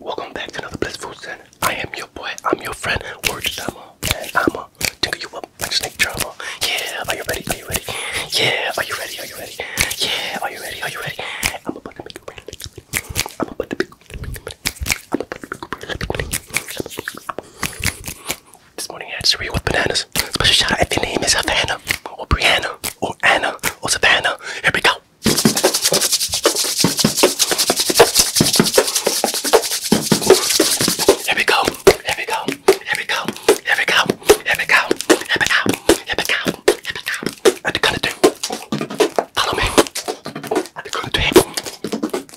Welcome back to another Blissful Sin. I am your boy, I'm your friend, Word Demo, and I'm a tickle you up like snake trouble. Yeah, are you ready? Are you ready? Yeah, are you ready? Are you ready? Yeah, are you ready? Are you ready? I'm about to make you ready. I'm about to make this morning I had cereal with bananas. Special shout out if your name is Havana, or Brianna, or Anna, or Savannah. Here we go. Here we go. Here we go. Here we go. Here we go. Here we go. Here we go. Here we go. Here we go. At the count of three. Follow me. At the count of three.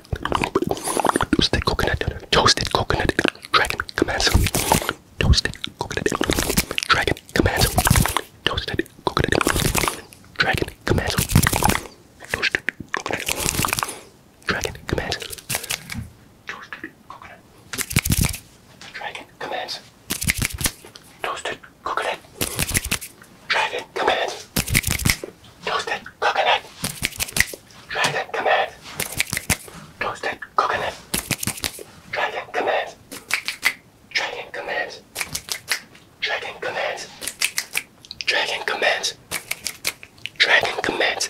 Toasted coconut, toasted coconut, dragon commands. Toasted coconut, dragon commands. Toasted coconut, dragon commands. Toasted coconut, dragon commands. Toasted coconut, dragon commands. Toasted coconut, dragon commands. Toasted coconut. Dragon command. Toasted coconut. Dragon command. Dragon command. Dragon command. Dragon command. Dragon command.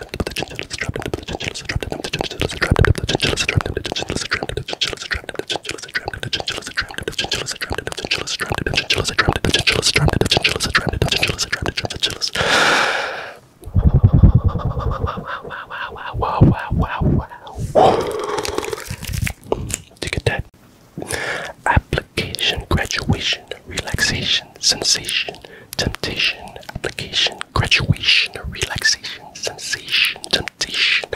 trapped into the chinchillas, trapped into the chinchillas, trapped into the chinchillas, trapped into the chinchillas, trapped into the chinchillas, trapped into the chinchillas, trapped into the chinchillas, trapped into the chinchillas, trapped into the chinchillas, trapped into the chinchillas, trapped into the chinchillas, trapped into the chinchillas, trapped into the chinchillas, trapped into the chinchillas, trapped into the chinchillas. Wow, wow, wow, wow. Do you get that? Application, graduation, relaxation, sensation temptation, application, graduation, relaxation, sensation, temptation,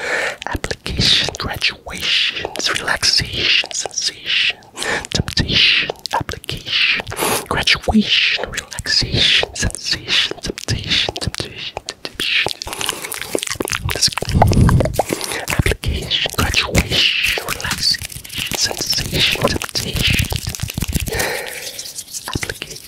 application, graduations, relaxation, sensation, temptation, application, graduation, relaxation, sensation, temptation, temptation, temptation. Application, graduation, relaxation, sensation, temptation. Application,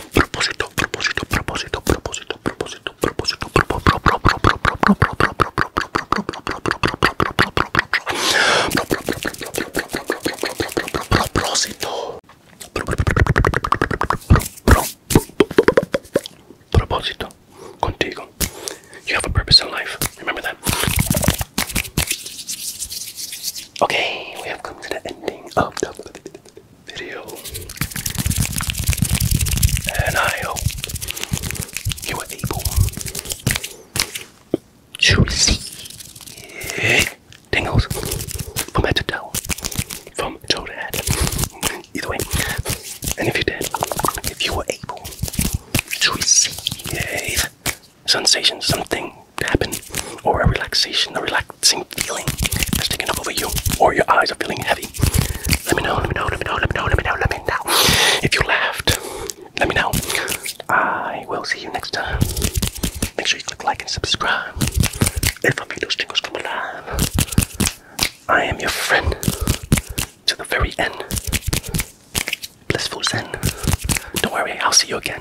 propósito, propósito, propósito, propósito, propósito, propósito, propósito, propósito, contigo. You have a purpose in life. Remember that. Okay, we have come to the ending of the video. And I hope you were able to receive tingles from head to toe, from toe to head. Either way. And if you did, if you were able to receive sensation, something happened, or a relaxation, a relax same feeling as taking over you or your eyes are feeling heavy. Let me know, let me know, let me know, let me know, let me know, let me know. If you laughed, let me know. I will see you next time. Make sure you click like and subscribe. If I make those tingles come alive, I am your friend to the very end. Blissful Zen. Don't worry, I'll see you again.